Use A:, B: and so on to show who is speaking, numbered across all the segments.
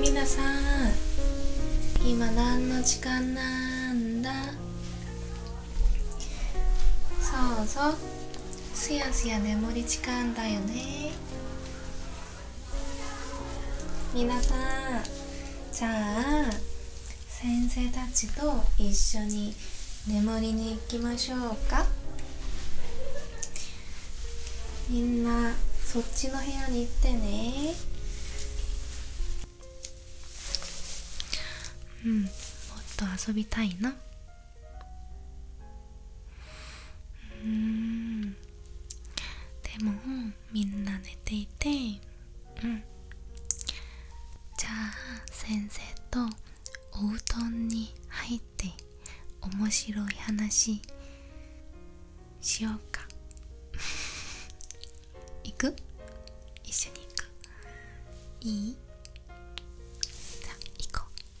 A: 皆さん今何の時間なんだそうそうすやすや眠り時間だよねみなさんじゃあ先生たちと一緒に眠りに行きましょうかみんなそっちの部屋に行ってねうんもっと遊びたいなうんでもみんな寝ていてうんじゃあ先生とお布団に入って面白い話しようか 行く一緒に行くいいじゃあ行こう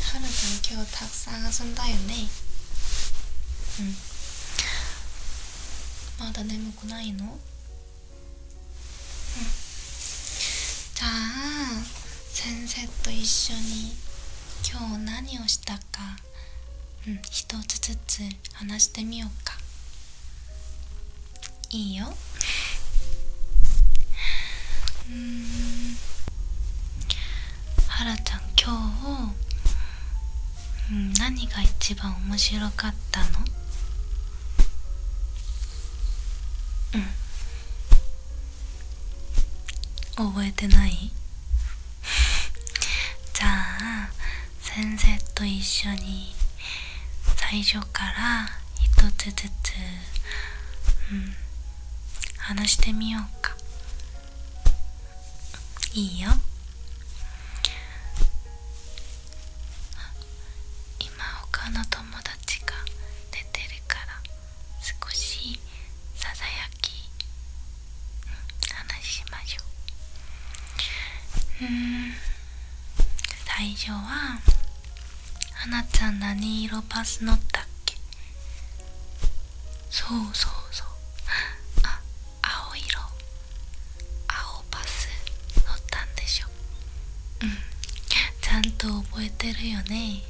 A: はるくん今日たくさん遊んだよねまだ眠くないのじゃあ先生と一緒に今日何をしたかうん一つずつ話してみようかいいようんはらちゃん今日、うん、何が一番面白かったのうん覚えてないじゃあ先生と一緒に最初から一つずつ、話してみようかいいよ今他の友達が出てるから少しささやき話しましょううん最初は「はなちゃん何色バス乗ったっけ?」そうそうそうあ青色青バス乗ったんでしょうちゃんと覚えてるよね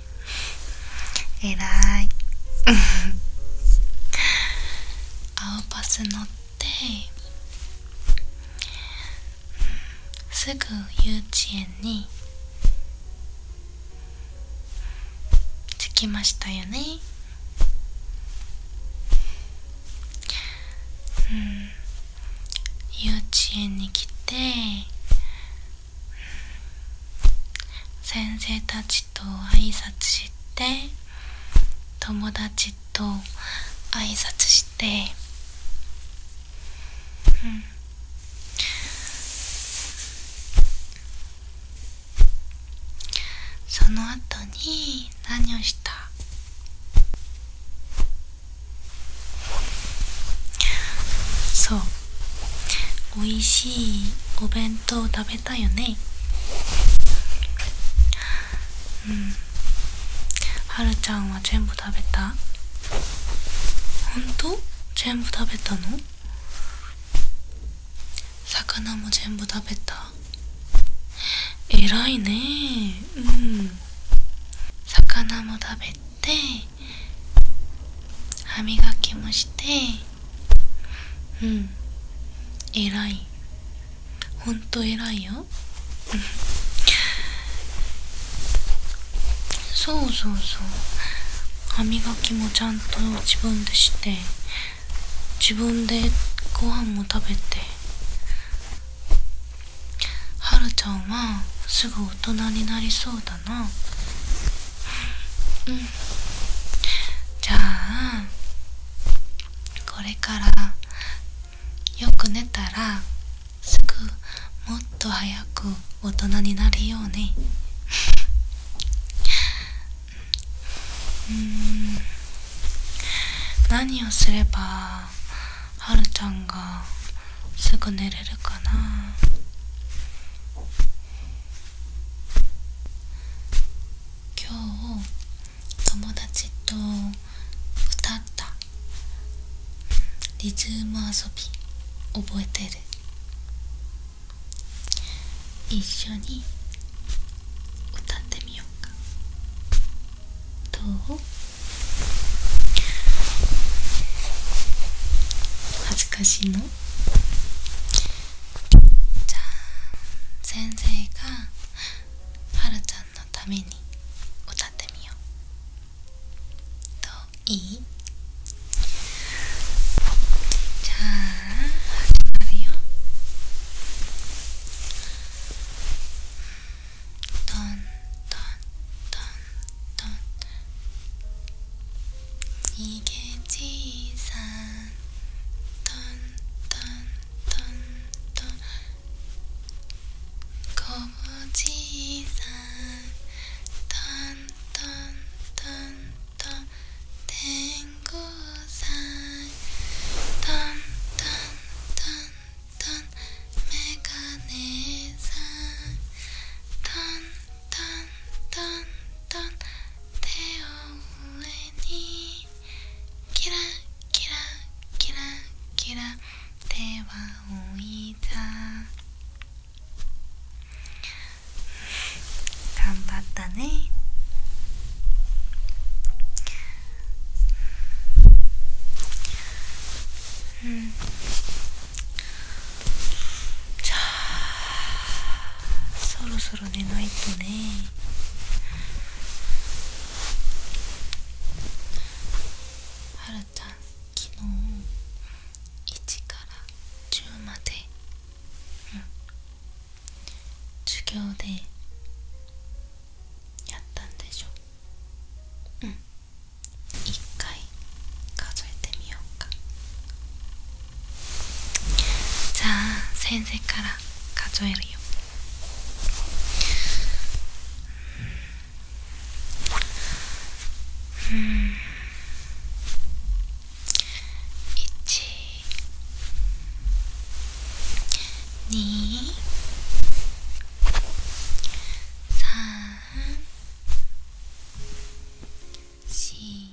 A: えらい青バス乗って、すぐ幼稚園に着きましたよねうん幼稚園に来て先生たちあと挨拶して友達と挨拶してその後に何をしたそうおいしいお弁当を食べる。めよねうんはるちゃんは全部食べたほんと全部食べたの魚も全部食べたえらいねうん魚も食べて歯磨きもしてうん偉いほんと偉いよそうそうそう歯磨きもちゃんと自分でして自分でご飯も食べてはるちゃんはすぐ大人になりそうだなうんじゃあこれからよく寝たらすぐもっと早く大人になるように。うん何をすればはるちゃんがすぐ寝れるかな今日友達と歌ったリズム遊び覚えてる一緒に歌ってみようかどう恥ずかしいのじゃあ先生がはるちゃんのために歌ってみようといいじゃあ始まるよトントントントン逃げ小さこぼじいさんトントントントン天狗さんトントントントンメガネさんトントントントン手を上にキラキラキラキラ手は置いた頑張ったねうんじゃあそろそそろ寝ないとねはるちゃん昨日1から10まで、うん、授業でやったんでしょうん一回数えてみようかじゃあ先生から数えるよ 음, 있지. 니, 산, 시,